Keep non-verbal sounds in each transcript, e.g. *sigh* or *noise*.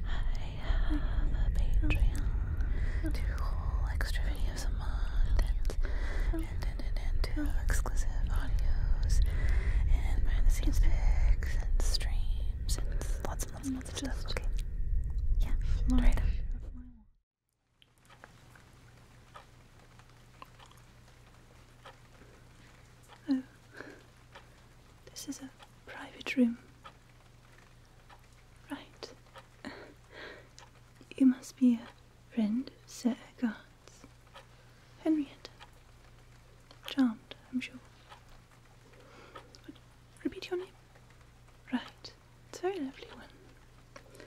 I have a Patreon. Two whole extra videos a month and, and, and, and, and exclusive audios and behind the scenes pics and streams and lots and lots and lots of stuff. Yeah. Right oh. this is a private room. Right. you must be a friend of Sir God's. Henrietta. Charmed, I'm sure. repeat your name. Right. It's a very lovely one.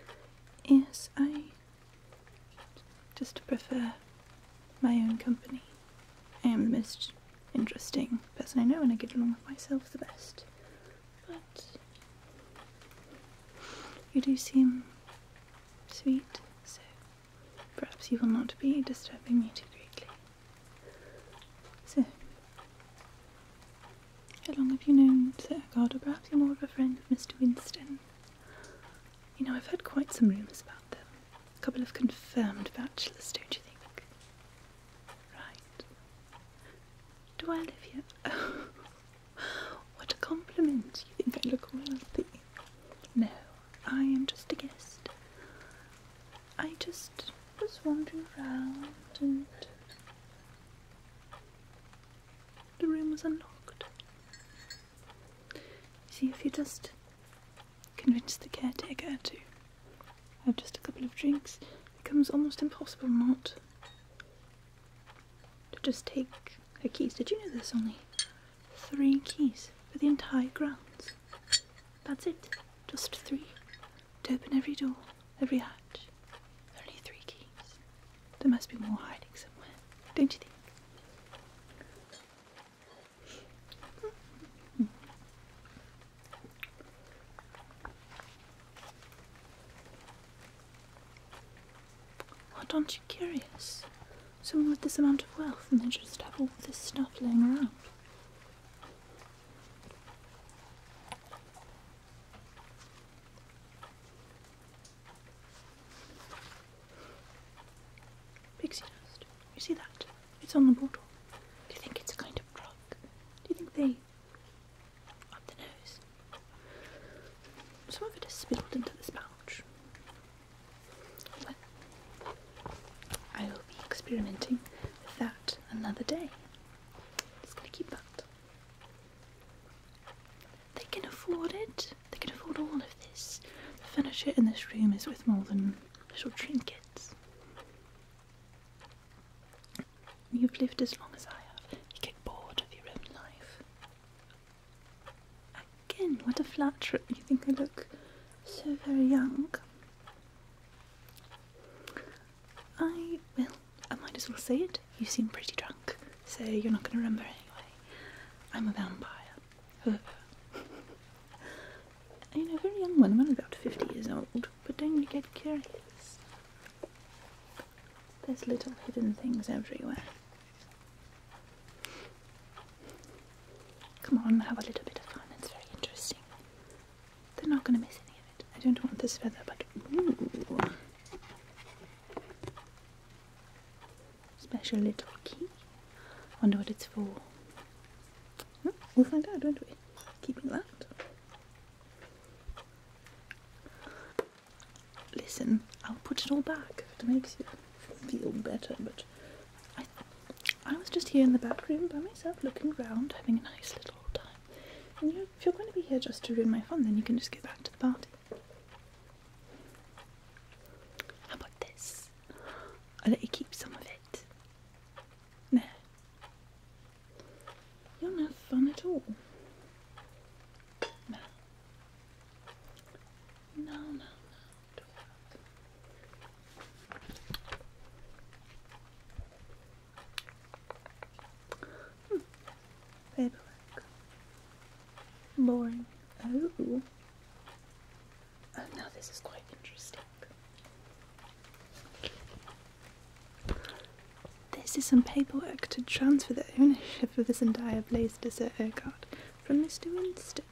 Yes, I just prefer my own company. I am the most interesting person I know and I get along with myself the best. But you do seem sweet, so perhaps you will not be disturbing me too greatly. So, how long have you known Sir Garda? Perhaps you're more of a friend of Mr. Winston. You know, I've heard quite some rumours about them. A couple of confirmed bachelors, don't you think? Right. Do I live here? *laughs* what a compliment. You think I look wealthy? No, I am just a guest. I just was wandering around and the room was unlocked. See if you just convince the caretaker to have just a couple of drinks, it becomes almost impossible not to just take her keys. Did you know there's only three keys for the entire grounds? That's it, just three. To open every door, every hatch, only three keys. There must be more hiding somewhere, don't you think? What aren't you curious? Someone with this amount of wealth and they just have all this stuff laying around. Pixie dust. You see that? It's on the bottle. Do you think it's a kind of drug? Do you think they up the nose? Some of it has spilled into this pouch. I will be experimenting with that another day. Just gonna keep that. They can afford it. They can afford all of this. The furniture in this room is worth more than little trinkets. You've lived as long as I have. You get bored of your own life. Again, what a flattery. You think I look so very young. I, well, I might as well say it. You seem pretty drunk, so you're not going to remember anyway. I'm a vampire. *laughs* you know, very young one. I'm only about 50 years old, but don't you get curious? There's little hidden things everywhere. Come on, have a little bit of fun. It's very interesting. They're not going to miss any of it. I don't want this feather, but ooh. Special little key. Wonder what it's for we'll find out, won't we? Keeping that. Listen, I'll put it all back if it makes you feel better, but I, I was just here in the back room by myself looking round, having a nice little time. And if you're going to be here just to ruin my fun, then you can just get back to the party. about this? I'll let you keep some of it. There. You are not fun at all. No. No, no, hmm. Paperwork. Boring. Oh. Oh, now this is quite interesting. This is some paperwork to transfer the ownership of this entire place to Sir Urquhart from Mr. Winston.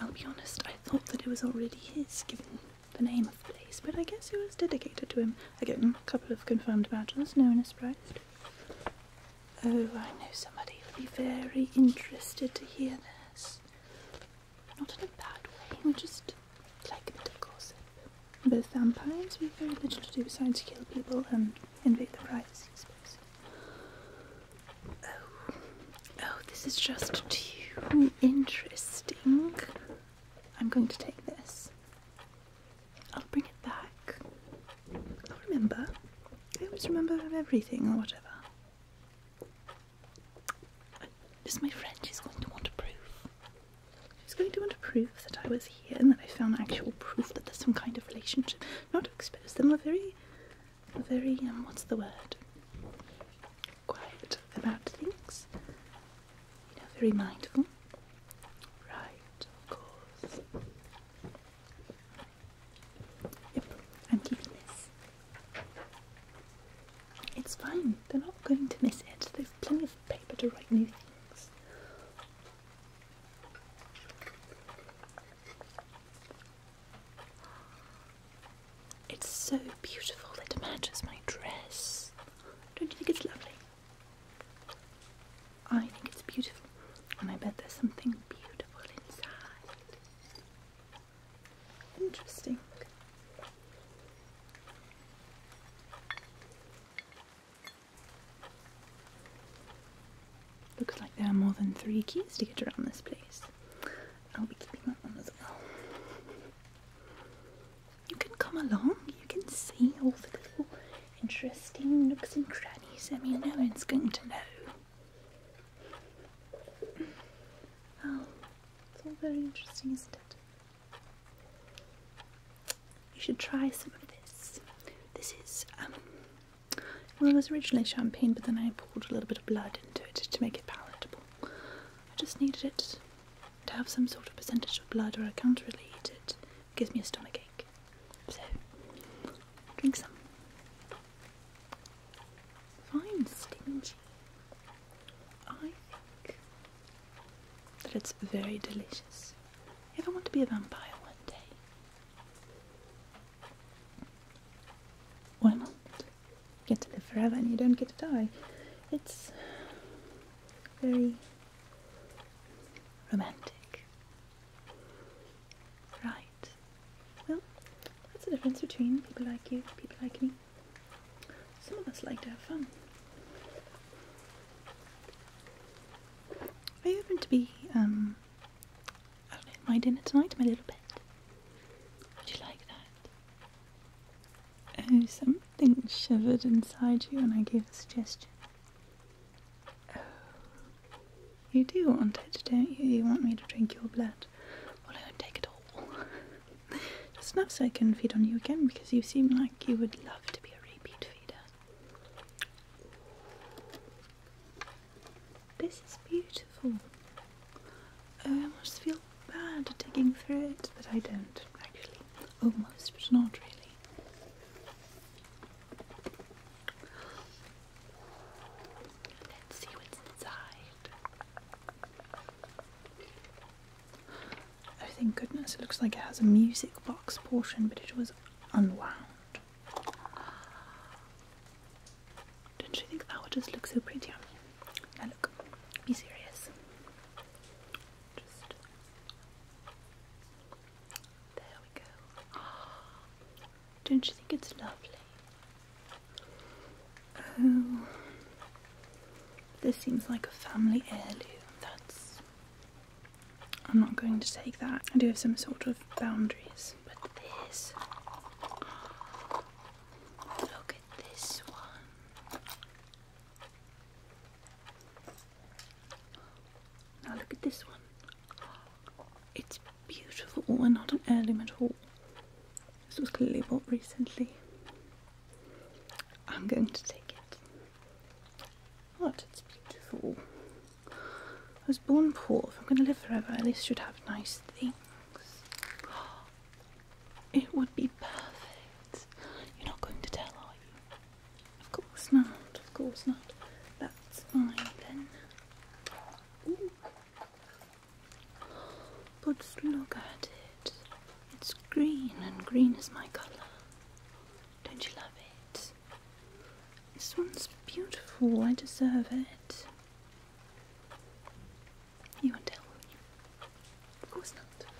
I'll be honest, I thought that it was already his, given the name of the place, but I guess it was dedicated to him. Again, a couple of confirmed bachelors, no one is surprised. Oh, I know somebody who'll be very interested to hear this. Not in a bad way, we just like a bit gossip. Both vampires, we have very little to do besides kill people and invade the privacy space. Oh, oh, this is just too interesting. I'm going to take this. I'll bring it back. I'll remember. I always remember everything or whatever. Just my friend, she's going to want to prove. She's going to want to prove that I was here and that I found actual proof that there's some kind of relationship. Not to expose them, are very, very, um, what's the word? Quiet about things. You know, very mindful. Right, of course. Yep, I'm keeping this. It's fine, they're not going to miss it. There's plenty of paper to write new things. It's so beautiful it matches my dress. Don't you think it's lovely? I think it's beautiful, and I bet there's something beautiful inside. Interesting. Looks like there are more than three keys to get around this place. I'll be keeping that one as well. You can come along, you can see all the little interesting nooks and crannies. I mean, no one's going to know. Oh, it's all very interesting, isn't it? You should try some of this. This is, um, well, it was originally champagne, but then I poured a little bit of blood into it to make it palatable. I just needed it to have some sort of percentage of blood, or I can't really eat it. It gives me a stomach ache. So, drink some. Fine, stingy. I think that it's very delicious. If I want to be a vampire one day, why not? Get to live forever and you don't get to die. It's very romantic. Right. Well, what's the difference between people like you, people like me. Some of us like to have fun. I happen to be, um, my dinner tonight, my little pet? Would you like that? Oh, something shivered inside you and I gave a suggestion. Oh, you do want it, don't you? You want me to drink your blood well, I won't take it all. Just enough *laughs* so I can feed on you again because you seem like you would love to be a repeat feeder. This is beautiful. Oh, I must feel bad digging through it, but I don't actually. Almost, but not really. Let's see what's inside. Oh, thank goodness, it looks like it has a music box portion, but it was unwound. Don't you think that would just look so pretty on Now look, be serious. There we go. *gasps* Don't you think it's lovely? Oh, this seems like a family heirloom. That's. I'm not going to take that. I do have some sort of boundaries, but this. Look at this one. Now look at this one. It's beautiful oh, and not an heirloom at all. This was clearly bought recently. I'm going to take it. What? Oh, it's beautiful. I was born poor. If I'm going to live forever, at least should have nice things. It would be perfect. You're not going to tell, are you? Of course not. Of course not. That's fine then. But look at it. It's green, and green is my colour. Don't you love it? This one's beautiful. I deserve it. You won't tell me. Of course not.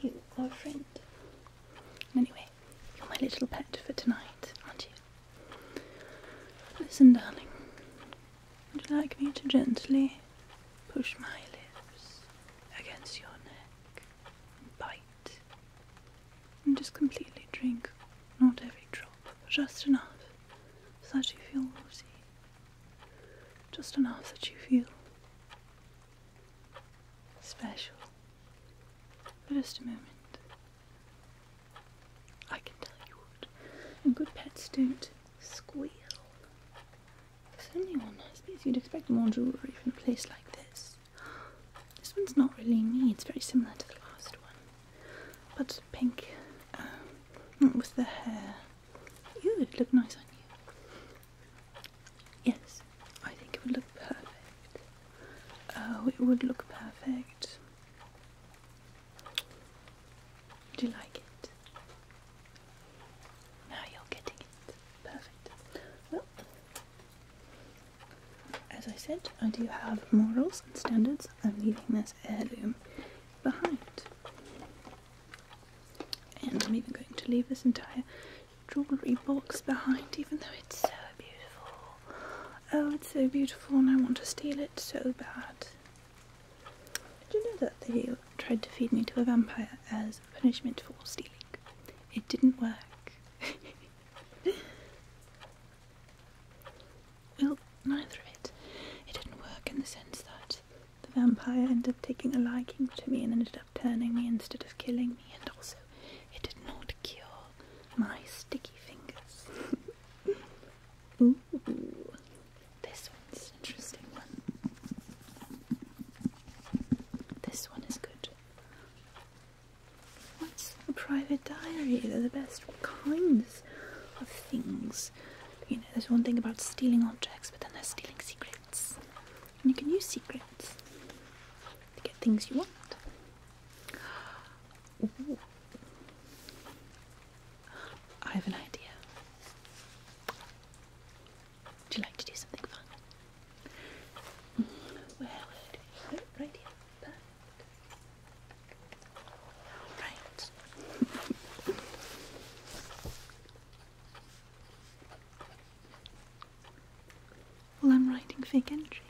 You are a friend. Anyway, you're my little pet for tonight, aren't you? Listen, darling. Would you like me to gently push my lips against your neck and bite? And just completely drink not every drop, just enough so that you feel woozy. Just enough that you feel special. For just a moment. I can tell you what. And good pets don't squeal. It's only one, I suppose you'd expect more jewellery from a place like this. This one's not really me, it's very similar to the last one. But pink, um, with the hair. You would look nice on you. Yes, I think it would look perfect. Oh, it would look perfect. Do you like it? Now you're getting it. Perfect. Well, as I said, I do have morals and standards. I'm leaving this heirloom behind. And I'm even going to leave this entire jewellery box behind, even though it's so beautiful. Oh, it's so beautiful, and I want to steal it so bad. Did you know that they tried to feed me to a vampire as punishment for stealing? It didn't work. *laughs* well, neither of it. It didn't work in the sense that the vampire ended up taking a liking to me and ended up turning me instead of killing me, and also it did not cure my sticky fingers. *laughs* this one's interesting one. This one is good. What's a private diary? They're the best kinds of things. You know, there's one thing about stealing objects, but then they're stealing secrets. And you can use secrets to get things you want. I have an idea. Would you like to do something fun? Mm, Right here. Perfect. Right. well, I'm writing fake entry.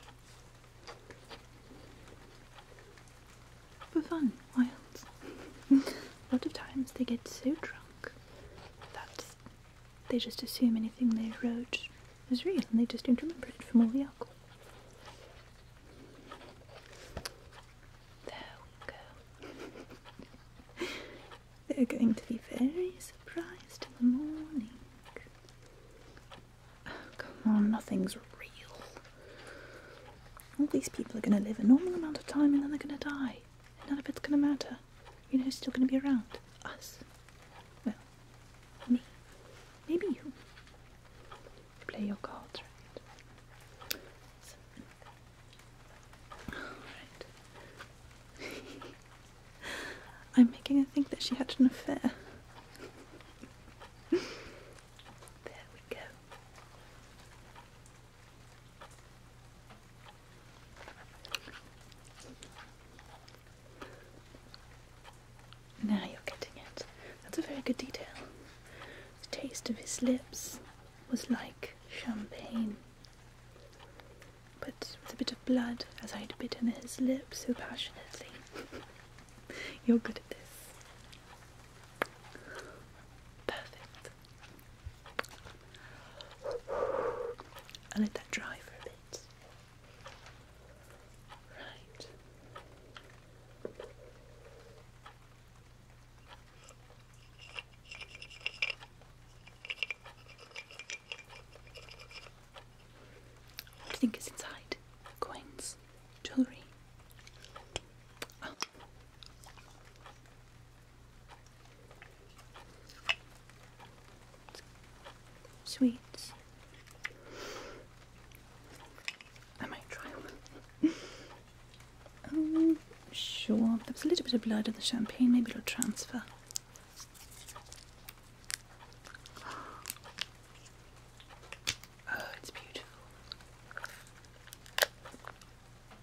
For fun, wild. a lot of times they get so drunk that they just assume anything they wrote is real and they just don't remember it from all the alcohol. There we go. *laughs* They're going to be very surprised in the morning. Oh, come on, nothing's real all these people are going to live a normal amount of time and then they're going to die. None of it's going to matter. You know who's still going to be around? Us. Well, me. Maybe you. Play your cards right. Alright. *laughs* I'm making her think that she had an affair. *laughs* there we go. Now you're getting it. That's a very good detail. The taste of his lips was like champagne, but with a bit of blood as I'd bitten his lip so passionately. *laughs* you're good at this. Perfect. I'll let that dry for a bit. Right. What think it's inside? Coins, jewellery. Oh. Sweets. I might try one. *laughs* Oh, sure. There was a little bit of blood in the champagne. Maybe it'll transfer. *gasps* Oh, it's beautiful.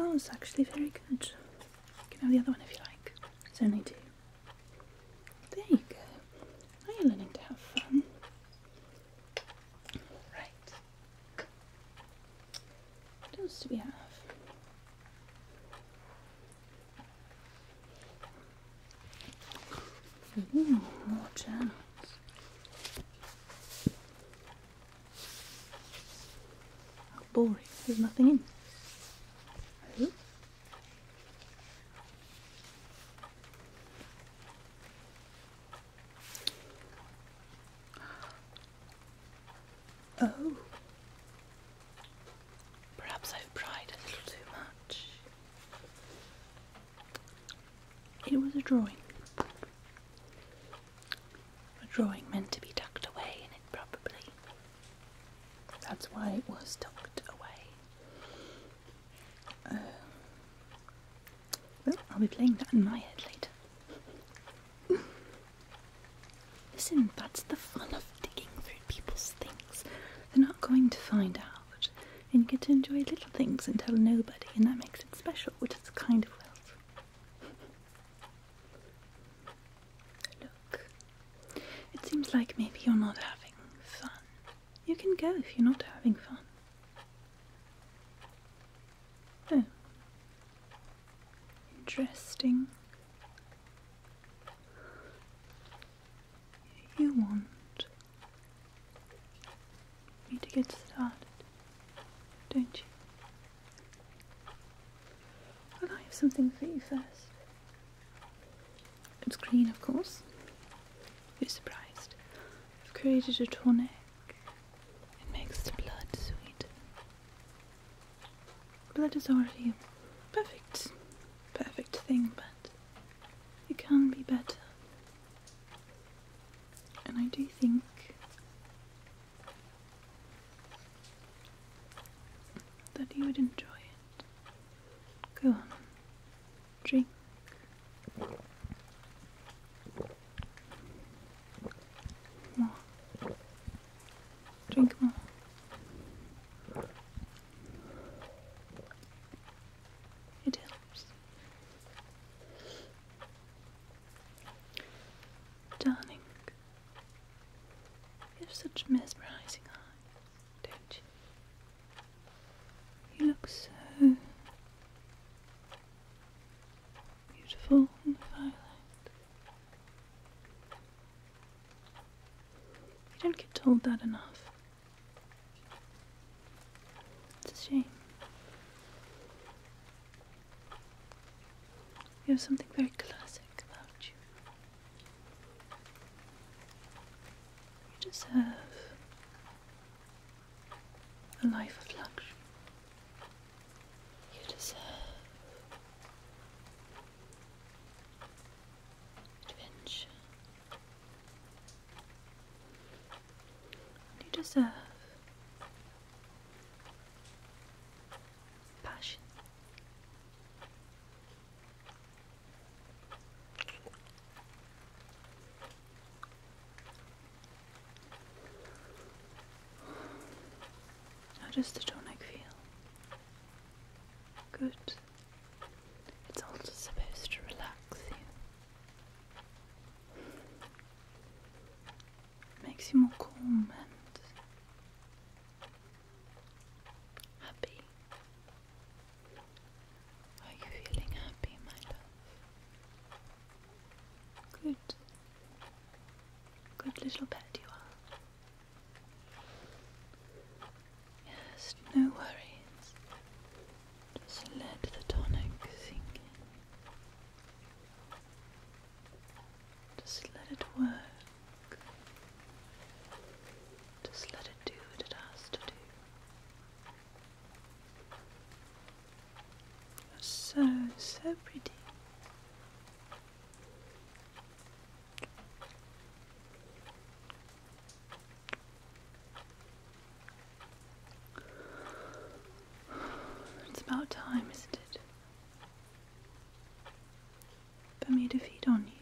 Oh, it's actually very good. You can have the other one if you like. It's only two. There you go. Now you're learning to have fun. Right. What else do we have? Ooh, more journals. How boring. There's nothing in Oh. Perhaps I've pried a little too much. It was a drawing. A drawing meant to be tucked away in it, probably. That's why it was tucked away. Uh, well, I'll be playing that in my head later. Listen, that's the fun of digging through people's things. They're not going to find out and you get to enjoy little things and tell nobody, and that makes it special, which is kind of wealth. Look, it seems like maybe you're not having fun. You can go if you're not having fun. Oh. Interesting. You want need to get started, don't you? Well, I have something for you first. It's green, of course. You're surprised. I've created a tonic. It makes the blood sweet. Blood is already a perfect, perfect thing, but it can be better. And I do think that you would enjoy it. Go on, drink. More. Drink more. It helps. Darling, you have such mesmerizing eyes, don't you? You look so beautiful in the firelight. You don't get told that enough. It's a shame. You have something very classic about you. You deserve a life of luxury. You deserve adventure. You deserve passion. How does the tonic feel? Good. It's also supposed to relax you. Makes you more calm and happy. Are you feeling happy, my love? Good. Good little pet you are. Yes, no worries. Just let the tonic sink in. Just let it work. Just let it do what it has to do. so, so pretty. It's about time, isn't it? For me to feed on you.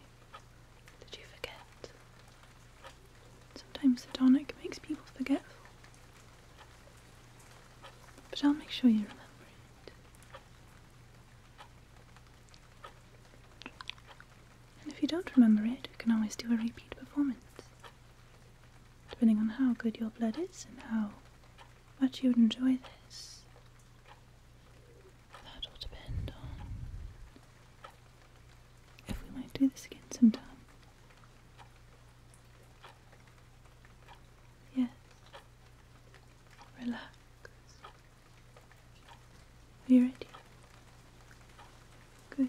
Did you forget? Sometimes the tonic makes people forgetful. But I'll make sure you remember it. And if you don't remember it, we can always do a repeat performance depending on how good your blood is and how much you would enjoy this. That will depend on if we might do this again sometime. Yes. Relax. Are you ready? Good.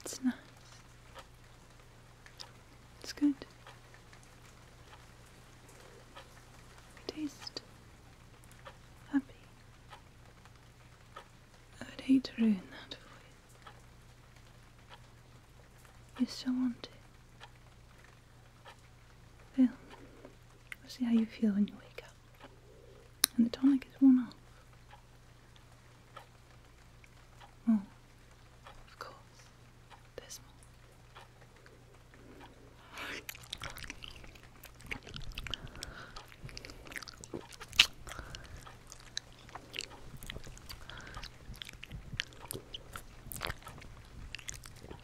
It's nice. It's good. I taste happy. I would hate to ruin that for you. You still want it. Well, we'll see how you feel when you wake up. And the tonic is worn off. Oh, of course. There's more.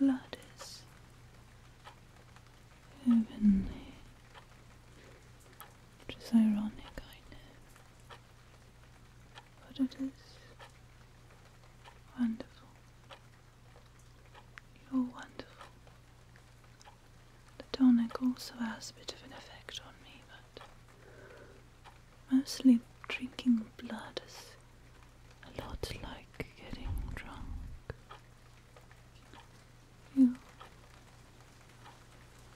Your blood is heavenly. Which is ironic, I know but it is wonderful. You're wonderful. The tonic also has a bit of an effect on me, but mostly drinking blood is a lot like getting drunk. You.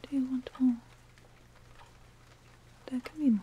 Do you want more? There can be more.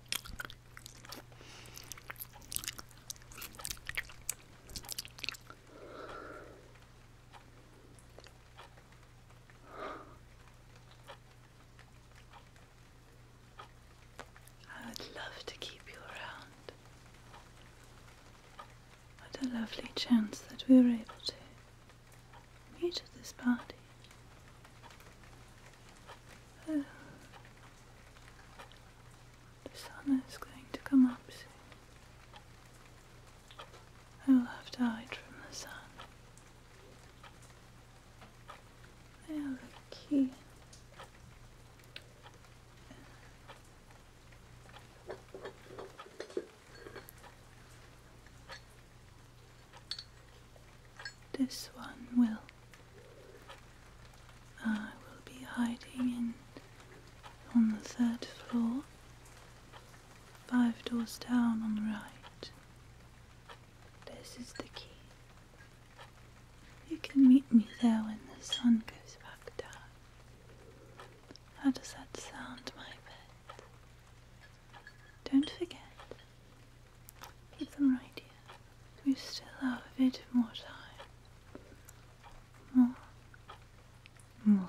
I would love to keep you around. What a lovely chance that we were able to. I'm new this party. Oh. The sun is going to come up soon. I will have to hide from the sun. Now the key. This one will. I uh, will be hiding in on the third floor, five doors down on the right. This is the key. You can meet me there when the sun goes back down. How does that sound, my pet? Don't forget, Keep them right here. We still have a bit more time. More. More.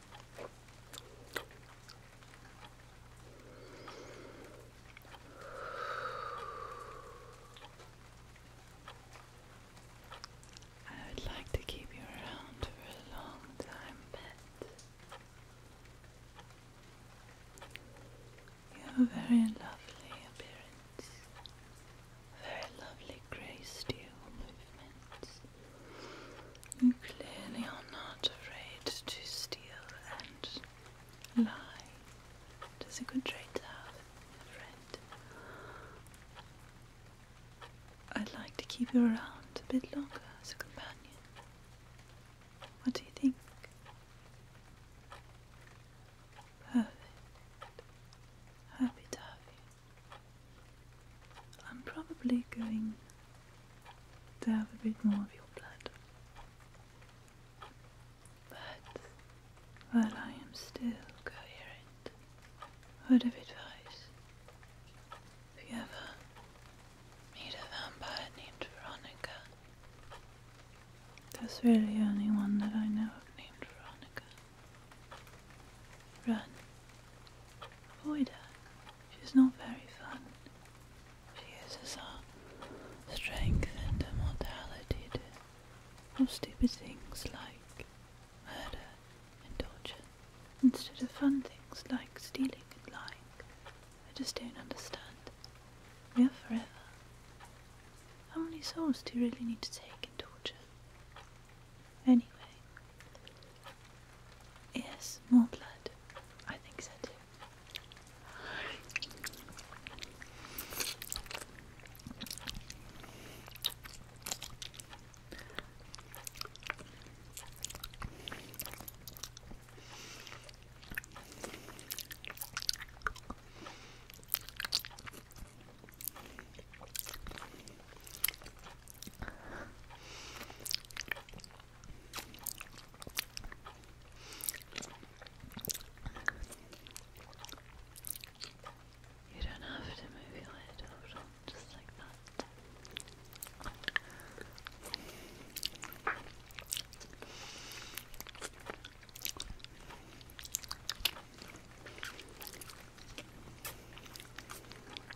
I would like to keep you around for a long time, pet. You have a very lovely appearance, very lovely grace to movements. You clearly are not afraid to steal and lie. It is a good trait to have, friend. I'd like to keep you around a bit longer as a companion. What do you think? Perfect. Happy to have you. I'm probably going to have a bit more of your blood. But while I am still coherent, word of advice. If you ever meet a vampire named Veronica, there's really only one that I know of named Veronica. Run. Avoid her. She's not very fun. She uses her strength and her mortality to do stupid things like murder and torture instead of fun things like stealing and lying. I just don't understand. We are forever. How many souls do you really need to take in torture? Anyway, Yes, more blood. I think so too. You don't have to move your head just like that.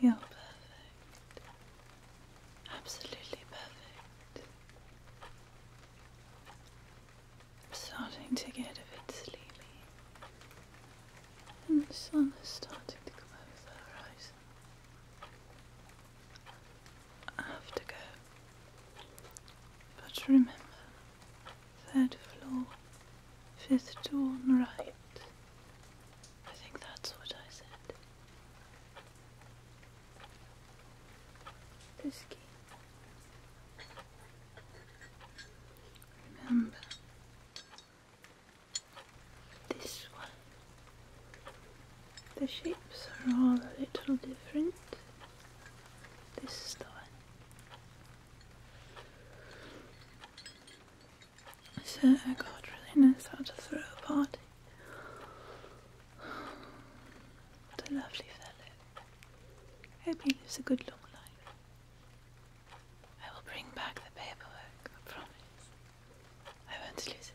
You're perfect. Absolutely perfect. I'm starting to get a bit sleepy. And the sun is starting to come over the horizon. I have to go. But remember, third floor, fifth door on right. I think that's what I said. This key. Remember this one. The shapes are all a little different. This is the one. I God really nice how to throw a party. What a lovely fellow. I hope he lives a good long life. I will bring back the paperwork, I promise. I won't lose it.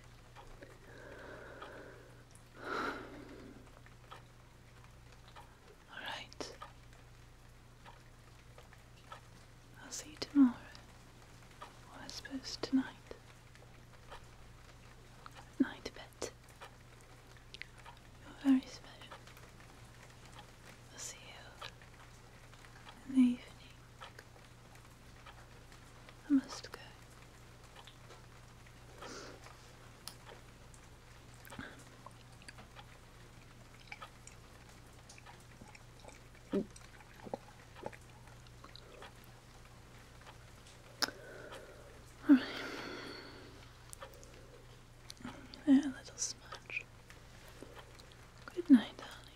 All right. I'll see you tomorrow. Or I suppose tonight. Good night, pet. You're very special. I'll see you in the evening. I must go. All right. little smudge. Good night, darling.